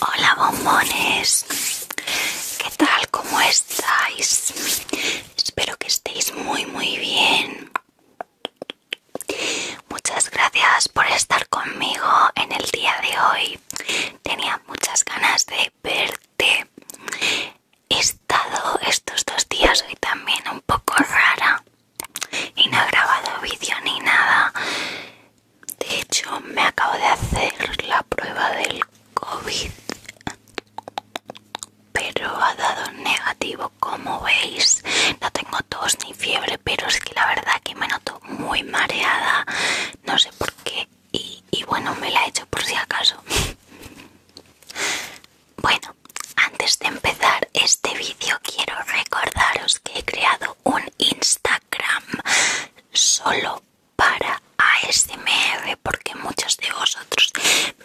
Hola bombones, ¿qué tal? ¿Cómo estáis? Espero que estéis muy muy bien. Muchas gracias por estar conmigo en el día de hoy. Tenía muchas ganas de verte he estado estos dos días hoy también un poco rara y no he grabado vídeo ni nada. De hecho, me acabo de hacer la prueba del COVID, pero ha dado negativo, como veis. No tengo tos ni fiebre, pero es que la verdad que me noto muy mareada. No sé por qué. Y, y bueno, me la he hecho por si acaso. Bueno, antes de empezar este vídeo quiero recordaros que he creado un Instagram solo para ASMR porque muchos de vosotros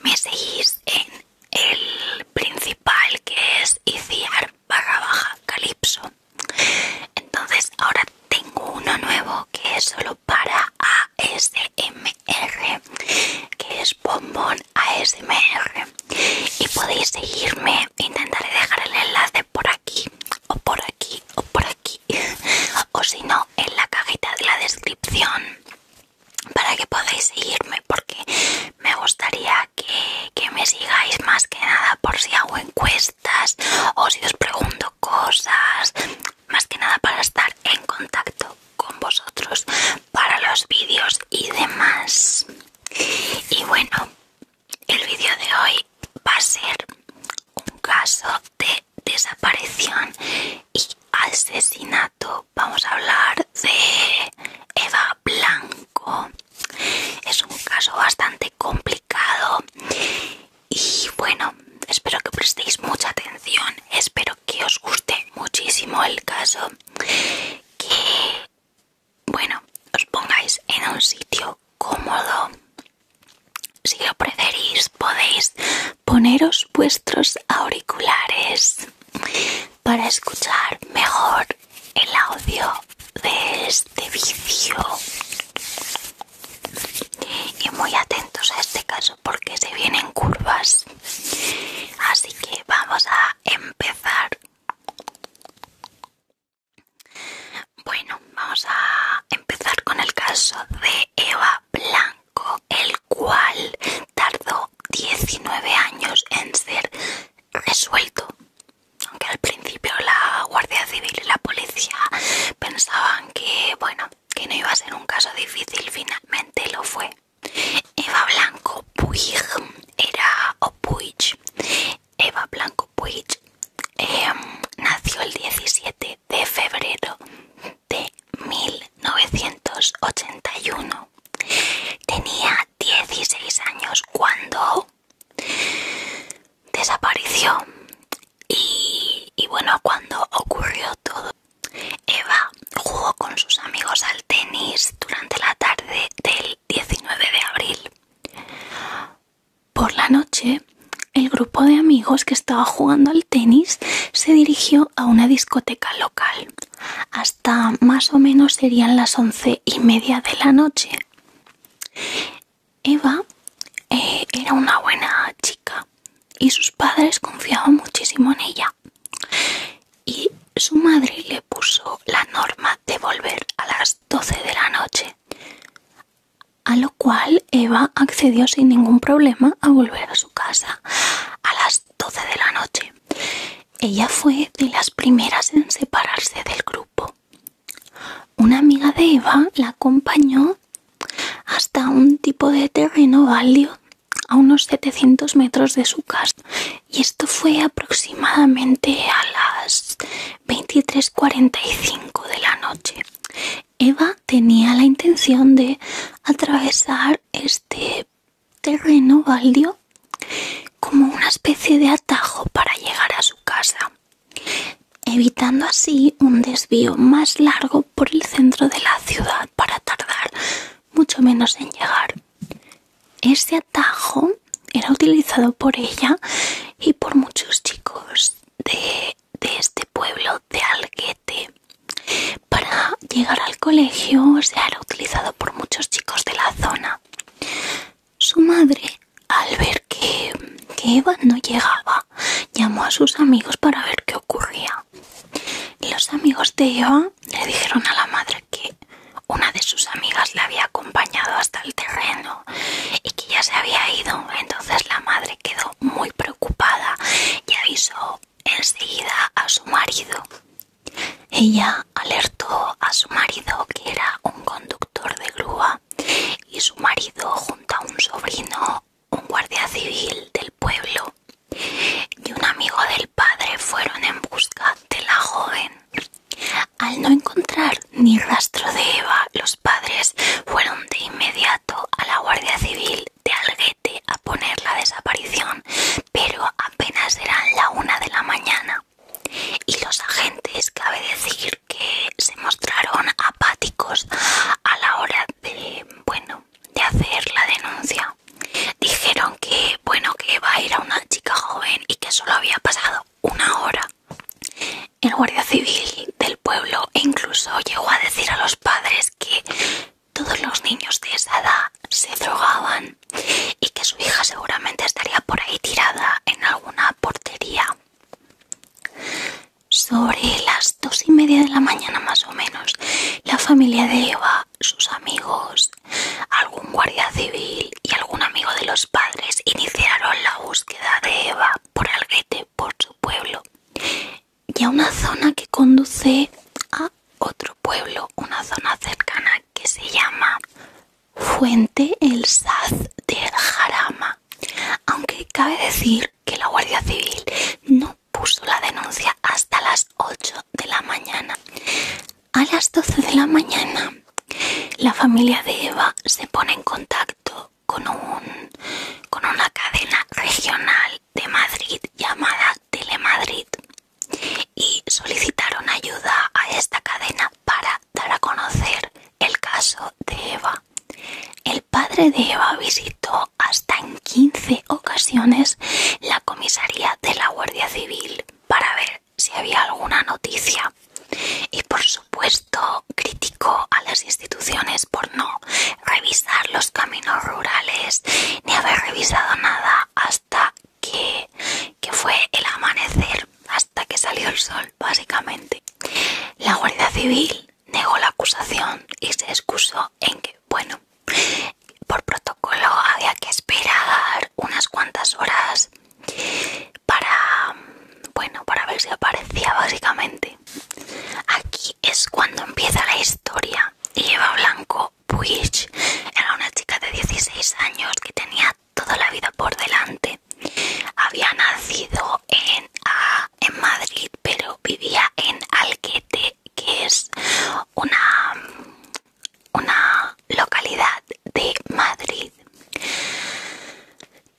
me seguís en el principal que es ICIAR baja calipso. Entonces ahora tengo uno nuevo que es solo para ASMR que es Bombón ASMR. Y podéis seguirme, intentaré dejar el enlace por aquí, o por aquí, o por aquí, o si no, en la cajita de la descripción para que podáis seguirme porque me gustaría que, que me sigáis más que nada por si hago encuestas o si os pregunto cosas más que nada para estar en contacto con vosotros para los vídeos y demás y bueno el vídeo de hoy va a ser un caso de desaparición y asesinato vamos a hablar de Eva Blanco es un caso bastante complicado y bueno espero que prestéis mucha atención espero que os guste muchísimo el caso que bueno os pongáis en un sitio cómodo si lo preferís podéis poneros vuestros auriculares para escuchar mejor el audio de este vídeo y muy atentos a este caso porque se vienen curvas Así que vamos a empezar. Bueno, vamos a empezar con el caso de Eva Blanco, el cual tardó 19 años en ser resuelto. Aunque al principio la Guardia Civil y la policía pensaban que, bueno, que no iba a ser un caso difícil, finalmente lo fue. Eva Blanco Puig era o Eva Blanco Puig em, nació el 17 de febrero de 1981. Tenía 16 años cuando desapareció y bueno cuando ocurrió todo Eva jugó con sus amigos al tenis durante la tarde del 19 de abril. Por la noche, el grupo de amigos que estaba jugando al tenis se dirigió a una discoteca local. Hasta más o menos serían las once y media de la noche. Eva eh, era una buena chica y sus padres confiaban muchísimo en ella y su madre le puso la norma de volver a las doce de la noche, a lo cual Eva accedió sin ningún problema a volver a su casa a las doce de la noche. Ella fue de las primeras en separarse del grupo. Una amiga de Eva la acompañó hasta un tipo de terreno baldío a unos 700 metros de su casa y esto fue aproximadamente a las 23.45 de la noche. Eva tenía la intención de atravesar este terreno baldío como una especie de atajo para llegar a su casa, evitando así un desvío más largo por el centro de la ciudad para tardar mucho menos en llegar. Este atajo era utilizado por ella y por muchos chicos de, este pueblo de Alguete. Para llegar al colegio, o sea, era utilizado por muchos chicos de la zona. Su madre, al ver que, que Eva no llegaba, llamó a sus amigos para ver qué ocurría. Los amigos de Joa le dijeron a la madre que una de sus amigas le había acompañado hasta el terreno y que ya se había ido. Entonces la madre quedó muy preocupada y avisó enseguida a su marido. Ella alertó a su marido que era un conductor de grúa y su marido junto a un sobrino, un guardia civil del pueblo, y un amigo del padre fueron en busca de la joven. Al no encontrar ni rastro de Eva, los padres fueron de inmediato a la Guardia Civil de Alguete a poner la desaparición, pero apenas eran la una de la mañana. Y los agentes, cabe decir que se mostraron apáticos a la hora de, bueno, de hacer la denuncia dijeron que bueno que iba a ir a una chica joven y que solo había pasado una hora el guardia civil del pueblo incluso llegó a decir a los padres que todos los niños de esa edad se drogaban y que su hija seguramente estaría por ahí tirada en alguna portería sobre las dos y media de la mañana más o menos la familia de Eva sus amigos, algún guardia civil y algún amigo de los padres iniciaron la búsqueda de Eva por Alguete, por su pueblo, y a una zona que conduce a otro pueblo, una zona cercana que se llama Fuente El Saz de Jarama. Aunque cabe decir que la Guardia Civil no puso la denuncia hasta las 8 de la mañana. A las 12 de la mañana, la familia de Eva se pone en contacto con, un, con una cadena regional de Madrid llamada Telemadrid y solicitaron ayuda a esta cadena para dar a conocer el caso de Eva. El padre de Eva visita hasta en 15 ocasiones la comisaría de la Guardia Civil para ver si había alguna noticia y por supuesto criticó a las instituciones por no revisar los caminos rurales ni haber revisado nada hasta que fue el amanecer, hasta que salió el sol básicamente. La Guardia Civil negó la acusación y se excusó en que bueno, por protocolo había que esperar unas cuantas horas para, bueno, para ver si aparecía básicamente. Aquí es cuando empieza la historia y Eva Blanco Puig era una chica de 16 años que tenía toda la vida por delante. Había nacido en, ah, en Madrid, pero vivía en Alquete, que, es una, una localidad de Madrid.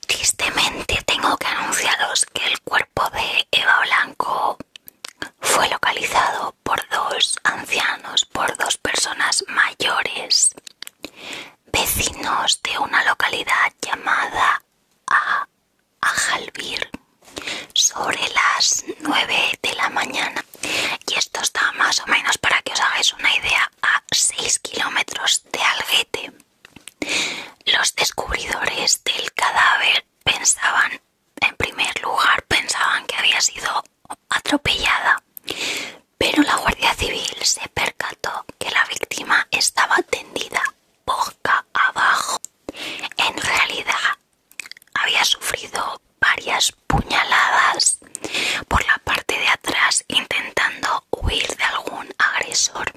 Tristemente tengo que anunciaros que el cuerpo de Eva Blanco fue localizado por dos ancianos, por dos personas mayores, vecinos de una localidad llamada A a Jalbir sobre las 9 de la mañana y esto está más o menos para que os hagáis una idea a 6 kilómetros de Alguete. Los descubridores del cadáver pensaban, en primer lugar, pensaban que había sido atropellada, pero la Guardia Civil se percató que la víctima estaba tendida boca abajo. En realidad había sufrido varias puñaladas por la parte de atrás intentando huir de algún agresor.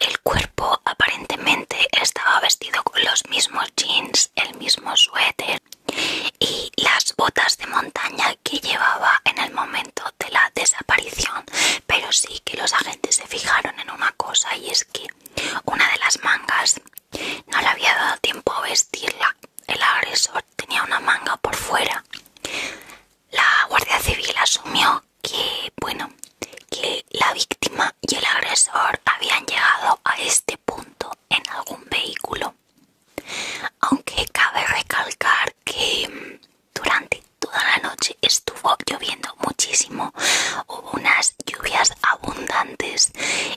El cuerpo aparentemente estaba vestido con los mismos jeans, el mismo suéter y las botas de montaña que llevaba en el momento de la desaparición, pero sí que los agentes se fijaron en una cosa y es que una de las mangas no le había dado tiempo a vestirla. El agresor tenía una manga por fuera. La Guardia Civil asumió que, bueno, que la víctima y el agresor habían llegado a este punto en algún vehículo. Aunque cabe recalcar que mm, durante toda la noche estuvo lloviendo muchísimo, hubo unas lluvias abundantes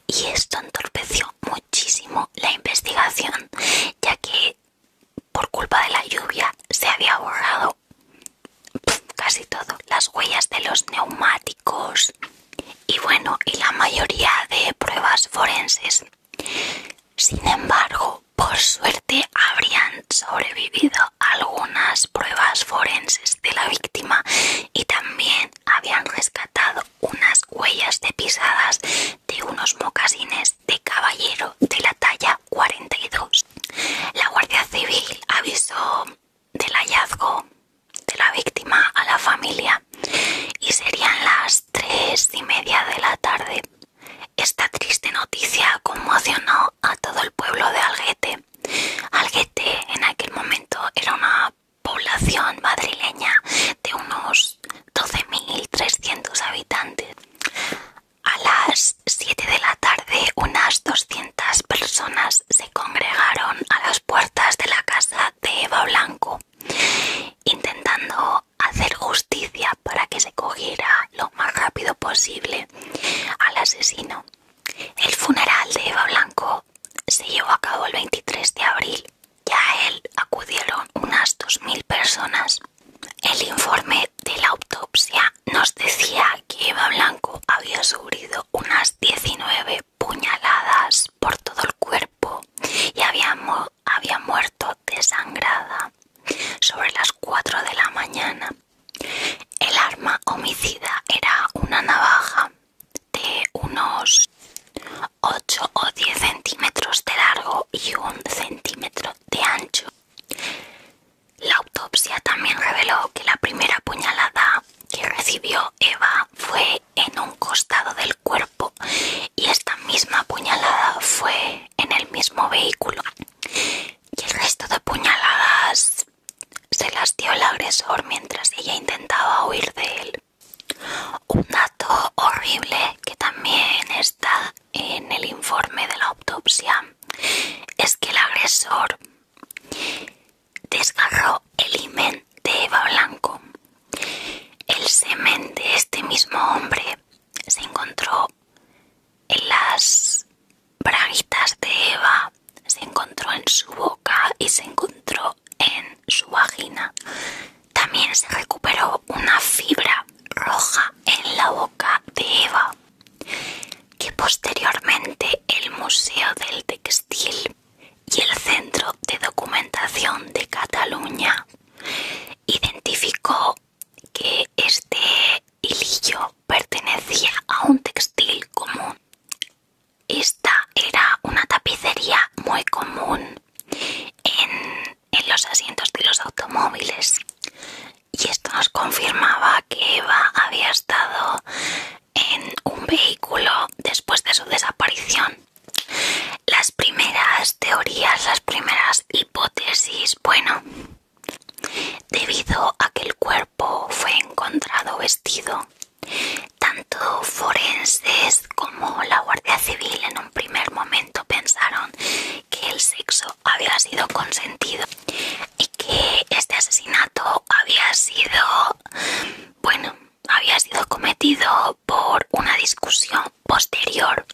y esto entorpeció muchísimo la investigación ya que por culpa de la lluvia se había borrado casi todo las huellas de los neumáticos y bueno y la mayoría de pruebas forenses sin embargo por suerte habrían sobrevivido algunas pruebas forenses de la víctima y también habían rescatado unas huellas de pisadas de unos mocasines de caballero de la talla 42. La Guardia Civil avisó del hallazgo de la víctima a la familia y serían las tres y media de la tarde. Esta triste noticia conmocionó a todo el pueblo de Alguete. Alguete en aquel momento era una población madrileña de unos 12.300 habitantes. A las 7 de la tarde unas 200 personas se congregaron a las puertas de la casa de Eva Blanco, intentando hacer justicia para que se cogiera lo más rápido posible al asesino. El funeral de Eva Blanco se llevó a cabo el 23 de abril y a él acudieron unas 2.000 personas. El informe de la autopsia nos decía que Eva Blanco había sufrido unas 19 puñaladas por todo el cuerpo y había, había muerto desangrada sobre las 4 de la mañana. El arma homicida era una navaja de unos 8 o 10 centímetros de largo y un centímetro de ancho. La autopsia también reveló que la primera puñalada que recibió Eva fue en un costado del cuerpo y esta misma puñalada fue en el mismo vehículo. Y el resto de puñaladas se las el agresor mientras ella intentaba huir de él. Un dato horrible que también está en el informe de la autopsia es que el agresor desgarró el himen de Eva Blanco. El semen de este mismo hombre se encontró en las braguitas de Eva se encontró en su boca y se encontró en su vagina. También se recuperó una fibra roja en la boca de Eva, que posteriormente el Museo del Textil y el Centro de Documentación de Cataluña identificó que este hilillo pertenecía a un textil común esta era una tapicería muy común en, los asientos de los automóviles y esto nos confirmaba que Eva había estado en un vehículo después de su desaparición. Las primeras teorías, las primeras hipótesis, bueno, debido a que el cuerpo fue encontrado vestido tanto forenses como la Guardia Civil en un primer momento pensaron que el sexo había sido consentido y que este asesinato había sido, bueno, había sido cometido por una discusión posterior.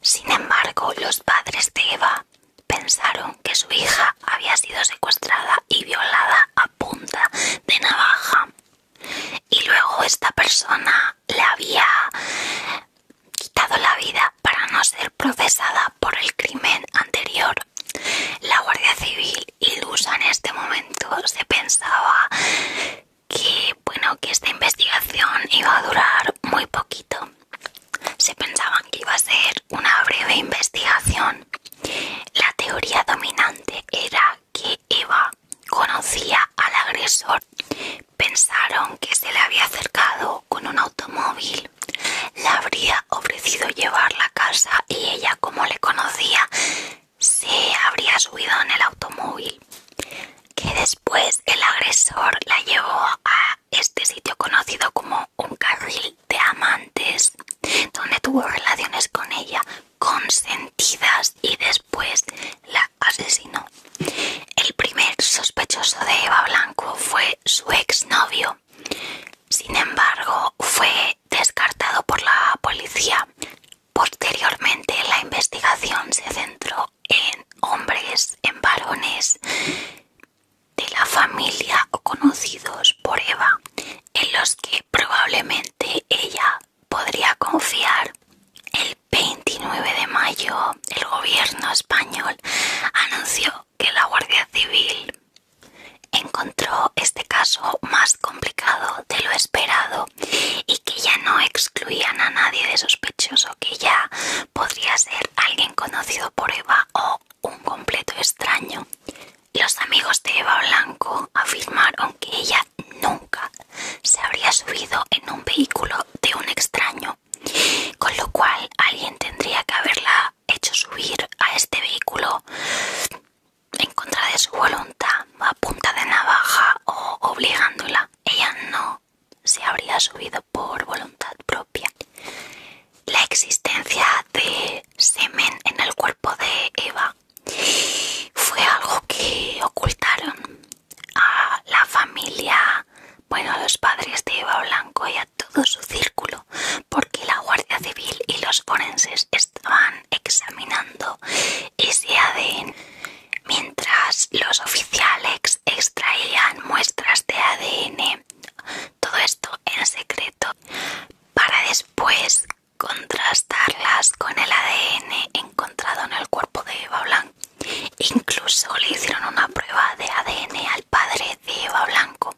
Sin embargo, los padres de Eva pensaron que su hija había sido secuestrada y violada a punta de navaja y luego esta persona le había quitado la vida para no ser procesada por el crimen anterior. La Guardia Civil y Lusa en este momento se pensaba que bueno que esta investigación iba a durar muy poquito. Se pensaban que iba a ser una breve investigación. La teoría dominante era que Eva conocía al agresor. Pensaron que se le había acercado con un automóvil. Le habría ofrecido llevarla a casa y ella, como le conocía, se habría subido en el automóvil. Que después el agresor la llevó a este sitio conocido como un carril de amantes donde tuvo relaciones con ella consentidas y después la asesinó. El primer sospechoso de Eva Blanco fue su exnovio. Sin embargo, fue descartado por la policía. Posteriormente, la investigación se centró en hombres, en varones de la familia o conocidos por Eva en los que probablemente ella podría confiar. El 29 de mayo, el gobierno español anunció que la Guardia Civil encontró este caso más complicado de lo esperado y que ya no excluían a nadie de sospechoso, que ya podría ser alguien conocido por Eva o un completo extraño. Los amigos de Eva Blanco afirmaron que ella nunca se habría subido en un vehículo de un extraño, con lo cual alguien tendría que haberla hecho subir a este vehículo en contra de su voluntad, a punta de navaja o obligándola. Ella no se habría subido por voluntad propia la existencia de semen en el cuerpo de Eva fue algo que ocultaron a la familia, bueno, a los padres de Eva Blanco y a todo su círculo, porque la Guardia Civil y los forenses estaban examinando ese ADN mientras los oficiales extraían muestras de ADN, todo esto en secreto, para después contrastarlas con el ADN encontrado en el cuerpo de Eva Blanco. Incluso le hicieron una prueba de ADN al padre de Eva Blanco,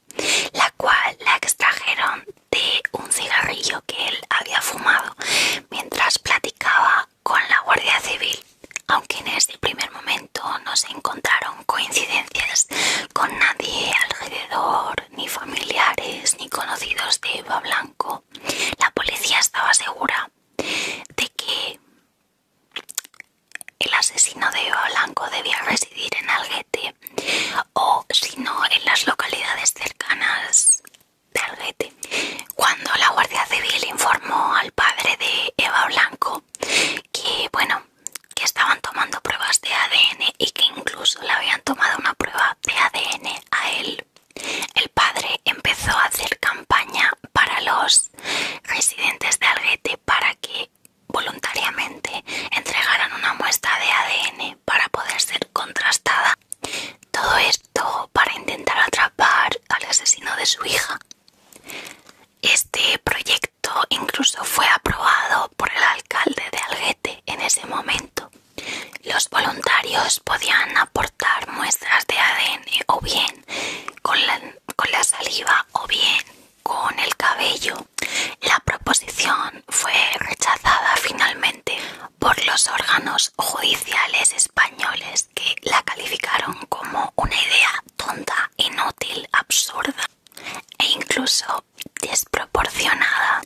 la cual la extrajeron de un cigarrillo que él había fumado mientras platicaba con la Guardia Civil. Aunque en este primer momento no se encontraron coincidencias con nadie alrededor, ni familiares, ni conocidos de Eva Blanco. La policía estaba segura de que el asesino de Eva Blanco debía residir en Alguete o, si no, en las localidades cercanas de Alguete. Cuando la Guardia Civil informó al padre de Eva Blanco que, bueno, que estaban tomando pruebas de ADN y que incluso le habían tomado una prueba de ADN a él. El padre empezó a hacer campaña para los residentes de Alguete para que voluntariamente entregaran una muestra de ADN para poder ser contrastada. Todo esto para intentar atrapar al asesino de su hija. Este proyecto incluso fue aprobado por el alcalde de Algete en ese momento. Los voluntarios podían aportar muestras de ADN o bien con con la saliva o bien con el cabello. La proposición fue rechazada finalmente por los órganos judiciales españoles que la calificaron como una idea tonta, inútil, absurda e incluso desproporcionada.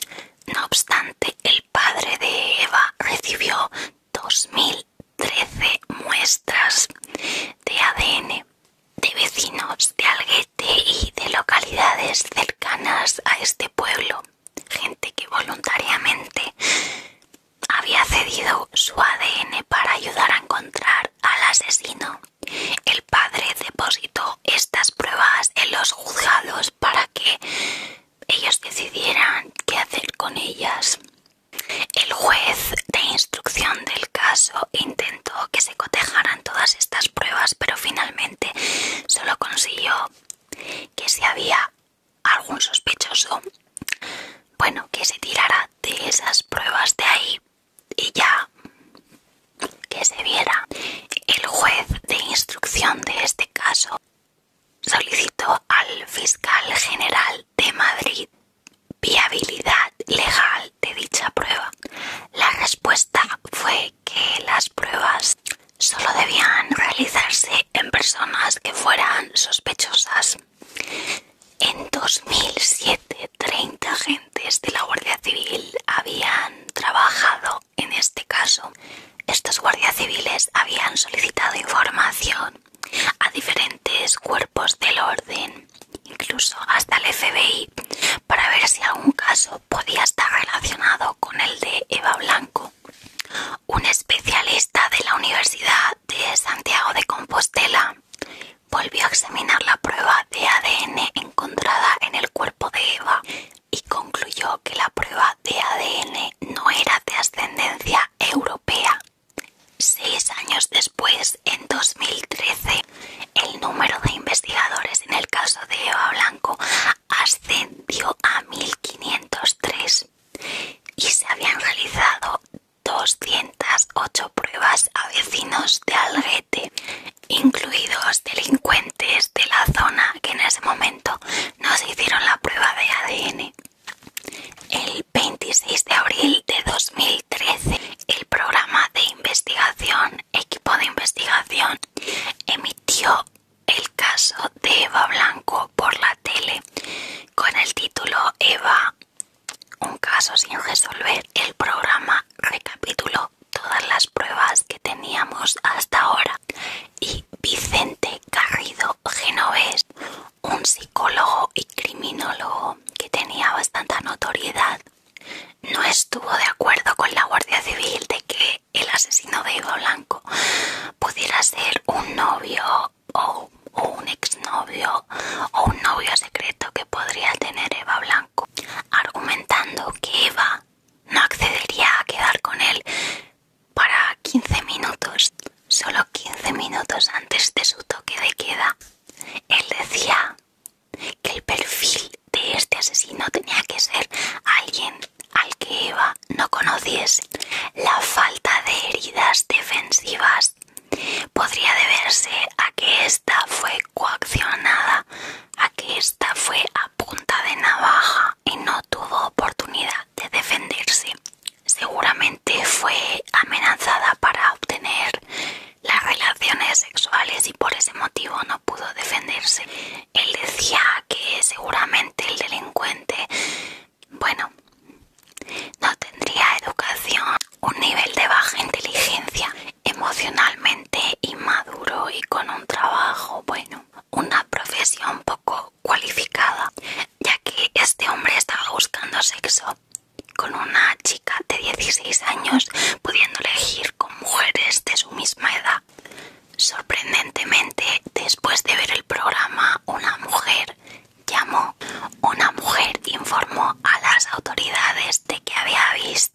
No obstante, el padre de Eva recibió 2013 muestras de ADN de vecinos de Alguete y de localidades cercanas a este pueblo, gente que voluntariamente había cedido su ADN para ayudar a encontrar al asesino. El padre depositó estas pruebas en los juzgados para que ellos decidieran qué hacer con ellas. El juez de instrucción del caso intentó que se cotejaran todas estas pruebas, pero finalmente solo consiguió que si había algún sospechoso, bueno, que se tirara de esas pruebas de ahí y ya que se viera. El juez de instrucción de este caso solicitó al fiscal general de Madrid viabilidad legal de dicha prueba. La respuesta fue que las pruebas solo debían realizarse en personas que fueran sospechosas. En 2007, 30 agentes de la Guardia Civil habían trabajado en este caso, estos guardias civiles habían solicitado información a diferentes cuerpos del orden, incluso hasta el FBI, para ver si algún caso podía estar relacionado con el de Eva Blanco. Un especialista de la Universidad de Santiago de Compostela volvió a examinar la prueba de ADN encontrada en el cuerpo de Eva, y concluyó que la prueba de ADN no era de ascendencia europea. Seis años después, en 2013, el número de investigadores en el caso de Eva Blanco ascendió a 1.503 y se habían realizado 208 pruebas a vecinos de Algete incluidos delincuentes de la zona que en ese momento nos hicieron la prueba de ADN. El 26 de abril de 2013, el programa de investigación, equipo de investigación, emitió el caso de Eva Blanco por la tele con el título Eva, un caso sin resolver. El programa recapituló todas las pruebas que teníamos hasta ahora y Vicente Garrido Genovés, un psicólogo y criminólogo que tenía bastante notoriedad, no estuvo de acuerdo con la Guardia Civil de que el asesino de Eva Blanco pudiera ser un novio o un exnovio o un novio secreto que podría tener Eva Blanco, argumentando que Eva no accedería a quedar con él para 15 minutos, solo 15 minutos antes de su toque de queda. Él decía que el perfil de este asesino tenía que ser alguien al que Eva no conociese. La falta de heridas defensivas podría deberse a que ésta fue coaccionada, a que ésta fue punta de navaja y no tuvo oportunidad de defenderse. Seguramente fue amenazada para obtener las relaciones sexuales y por ese motivo no pudo defenderse. Él decía que seguramente el delincuente, bueno, no tendría educación, un nivel de baja inteligencia emocionalmente inmaduro y con un trabajo, bueno, una profesión poco cualificada, ya que este hombre estaba buscando sexo con una chica de 16 años, pudiendo elegir con mujeres de su misma edad. Sorprendentemente, después de ver el programa, una mujer llamó. Una mujer informó a las autoridades de que había visto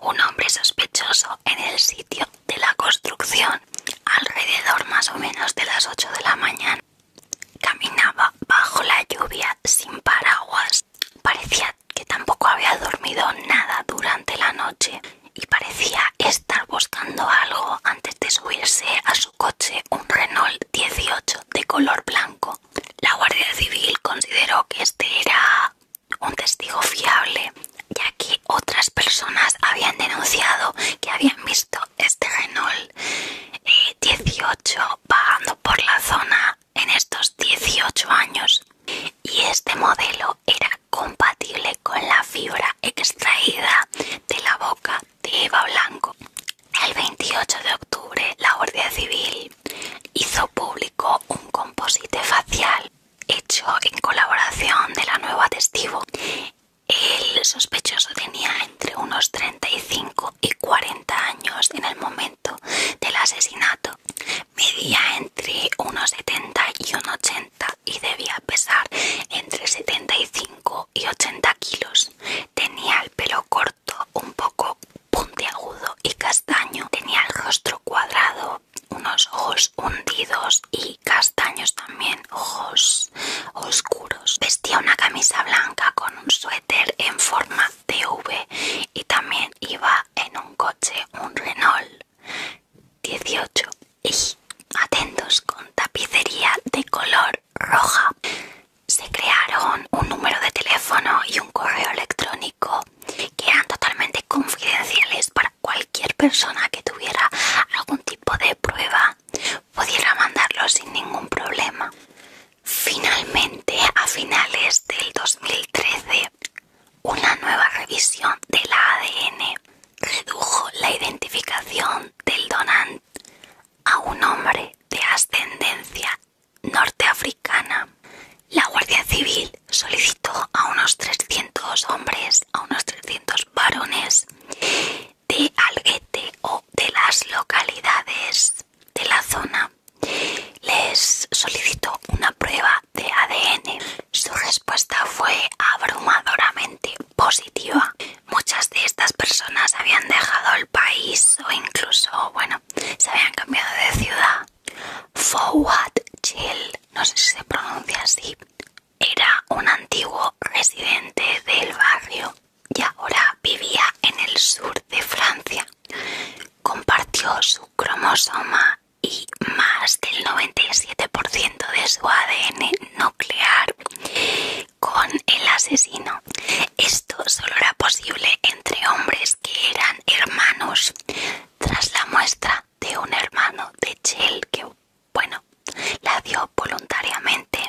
un hombre sospechoso en el sitio de la construcción alrededor más o menos de las 8 de la mañana. Caminaba bajo la lluvia sin paraguas. Parecía que tampoco había dormido nada durante la noche y parecía estar buscando algo antes de subirse a su coche, un Renault 18 de color blanco. La Guardia Civil consideró que este era un testigo fiable, ya que otras personas habían denunciado que habían visto este Genol eh, 18 vagando por la zona en estos 18 años. Y este modelo era compatible con la fibra extraída de la boca de Eva Blanco. El 28 de octubre la Guardia Civil hizo público un composite facial hecho en colaboración de la nueva testigo. El sospechoso tenía entre unos 35 y 40 años en el momento del asesinato. Medía entre unos 70 y 1,80 y debía pesar entre 75 y 80 kilos. Tenía el pelo corto, un poco puntiagudo y castaño. Tenía el rostro cuadrado unos ojos hundidos y castaños también, ojos oscuros. Vestía una camisa blanca con un suéter en forma de V y también iba en un coche, un Renault 18 y atentos con tapicería de color roja. Se crearon un número de teléfono y un correo electrónico que eran totalmente confidenciales para cualquier persona que tuviera algún tipo de prueba pudiera mandarlo sin ningún problema. Finalmente, a finales del 2013, una nueva revisión del ADN redujo la identificación del donante a un hombre de ascendencia norteafricana la Guardia Civil solicitó a unos 300 hombres, a unos 300 varones de Alguete o de las localidades de la zona. Les solicitó una prueba de ADN. Su respuesta fue abrumadoramente positiva. Muchas de estas personas habían dejado el país o incluso, bueno, se habían cambiado de ciudad Fouad Chil, no sé si se pronuncia así, era un antiguo residente del barrio y ahora vivía en el sur de Francia. Compartió su cromosoma y más del 97% de su ADN nuclear con el asesino. Esto solo era posible entre hombres que eran hermanos. Tras la muestra de un hermano de Chell que, bueno, la dio voluntariamente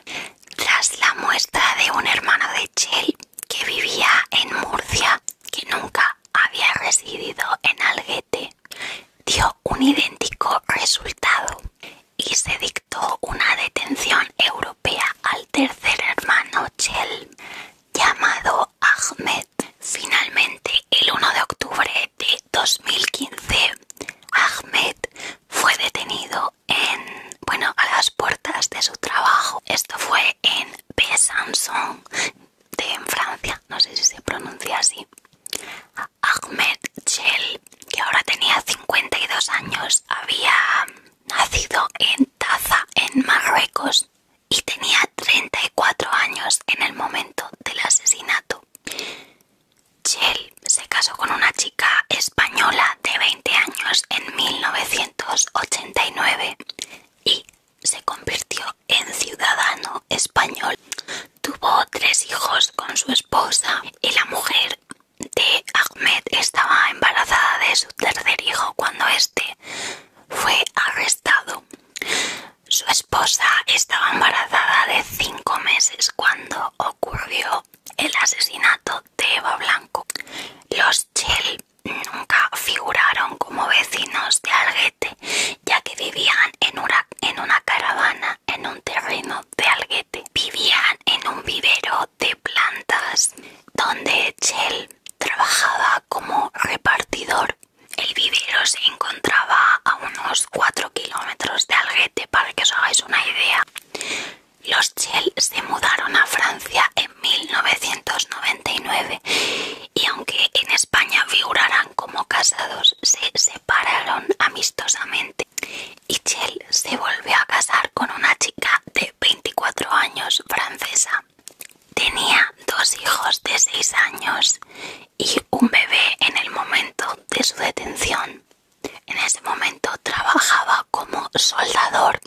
tras la muestra de un hermano de Chell que vivía en Murcia, que nunca había residido en Alguete. Dio un idéntico resultado y se dictó una detención europea al tercer hermano Chell llamado Ahmed. Finalmente, el 1 de octubre de 2015, Ahmed fue detenido en, bueno, a las puertas de su trabajo. Esto fue en Besançon, de en Francia, no sé si se pronuncia así. Ahmed Chel, que ahora tenía 52 años, había nacido en Taza, en Marruecos, y tenía 34 años en el momento del asesinato. Chel se casó con una chica española de 20 años en 1989 y se convirtió en ciudadano español. Tuvo tres hijos con su esposa y la mujer de Ahmed estaba embarazada de su tercer hijo cuando este fue arrestado. Su esposa estaba embarazada de cinco meses cuando ocurrió el asesinato de Eva Blanco. Los Chell nunca figuraron como vecinos de Alguete, ya que vivían en una, caravana en un terreno de Alguete. Vivían en un vivero de plantas donde Chell trabajaba como repartidor el vivero se encontraba a unos 4 kilómetros de Alguete, para que os hagáis una idea. Los Chel se mudaron a Francia en 1999 y aunque en España figuraran como casados, se separaron amistosamente y Chel se volvió a casar con una chica de 24 años francesa tenía dos hijos de seis años y un bebé en el momento de su detención. En ese momento trabajaba como soldador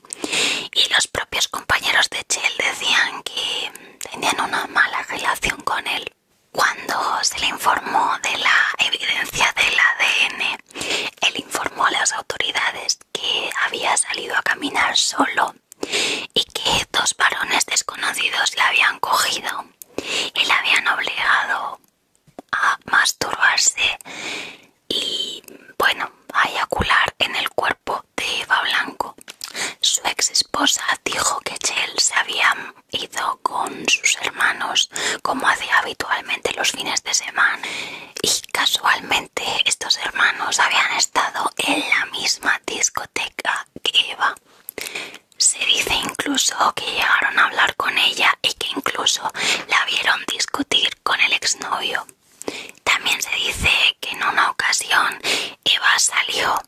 y los propios compañeros de Chell decían que tenían una mala relación con él. Cuando se le informó de la evidencia del ADN, él informó a las autoridades que había salido a caminar solo y que dos varones desconocidos la habían cogido y la habían obligado a masturbarse y, bueno, a eyacular en el cuerpo de Eva Blanco. Su ex esposa dijo que Chell se había ido con sus hermanos, como hacía habitualmente los fines de semana, y casualmente estos hermanos habían estado en la misma discoteca que Eva Se dice incluso que llegaron a hablar con ella y que incluso la vieron discutir con el exnovio. También se dice que en una ocasión Eva salió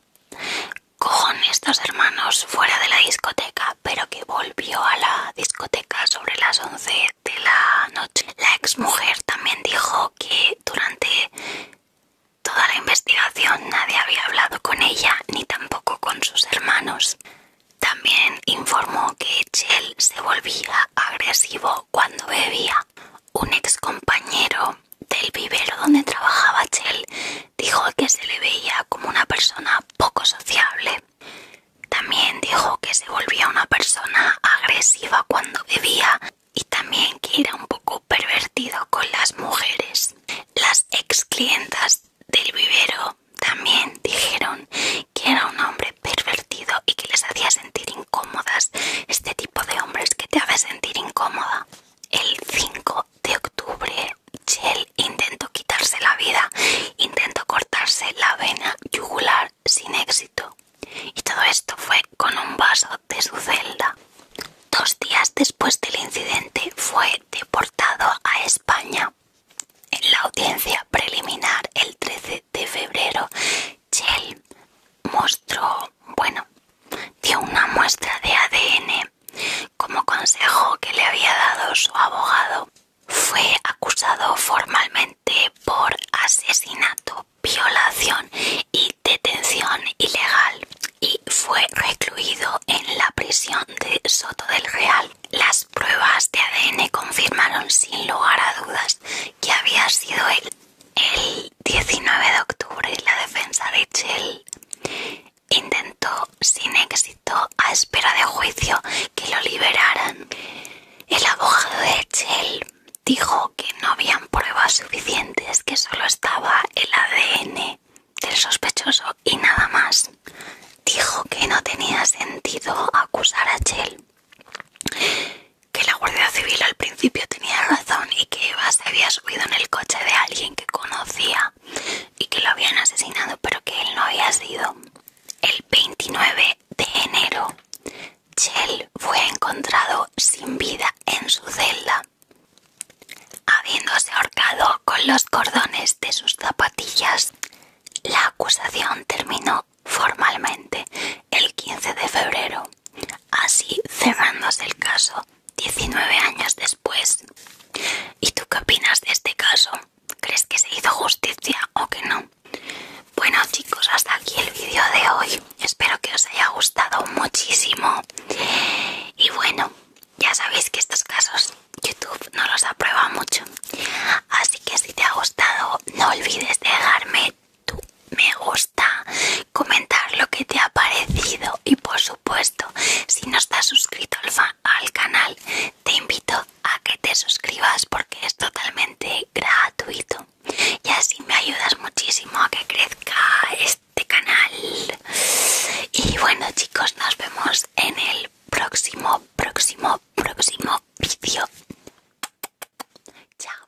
con estos hermanos fuera de la discoteca, pero que volvió a la discoteca sobre las 11 de la noche. La exmujer también dijo que durante Toda la investigación nadie había hablado con ella ni tampoco con sus hermanos. También informó que Chell se volvía agresivo cuando bebía. Un ex compañero del vivero donde trabajaba Chell dijo que se le veía como una persona poco sociable. También dijo que se volvía una persona agresiva cuando bebía y también que era un poco pervertido con las mujeres. Las ex clientes del vivero también dijeron que era un hombre pervertido y que les hacía sentir incómodas este tipo de hombres que te hace sentir incómoda. El 5 de octubre, Shell intentó quitarse la vida, intentó cortarse la vena yugular sin éxito. Y todo esto fue con un vaso de su celda. Dos días después del incidente fue deportado a España. En la audiencia preliminar el 13 de febrero, Shell mostró, bueno, dio una muestra de ADN como consejo que le había dado su abogado. Fue acusado formalmente por asesinato violación y detención ilegal y fue recluido en la prisión de Soto del Real. Las pruebas de ADN confirmaron sin lugar a dudas que había sido él. El 19 de octubre la defensa de Chell intentó sin éxito a espera de juicio que lo liberaran. El abogado de Chell dijo que no habían pruebas suficientes, que solo estaba el ADN del sospechoso y nada más. Dijo que no tenía sentido acusar a Chell, que la Guardia Civil al principio tenía razón y que Eva se había subido en el coche de alguien que conocía y que lo habían asesinado, pero que él no había sido. El 29 de enero, Chell fue encontrado sin vida en su celda Habiéndose ahorcado con los cordones de sus zapatillas, la acusación terminó formalmente el 15 de febrero, así cerrándose el caso 19 años después. ¿Y tú qué opinas de este caso? ¿Crees que se hizo justicia o que no? Bueno chicos, hasta aquí el vídeo de hoy espero que os haya gustado muchísimo. Y bueno, ya sabéis que estos casos YouTube no los aprueba mucho. Así que si te ha gustado, no olvides dejarme tu me gusta, comentar lo que te ha parecido y por supuesto, si no estás suscrito al, canal, te invito a que te suscribas porque es totalmente gratuito. Y así me ayudas muchísimo a que crezca este este canal. Y bueno chicos, nos vemos en el próximo, próximo, próximo vídeo. Chao.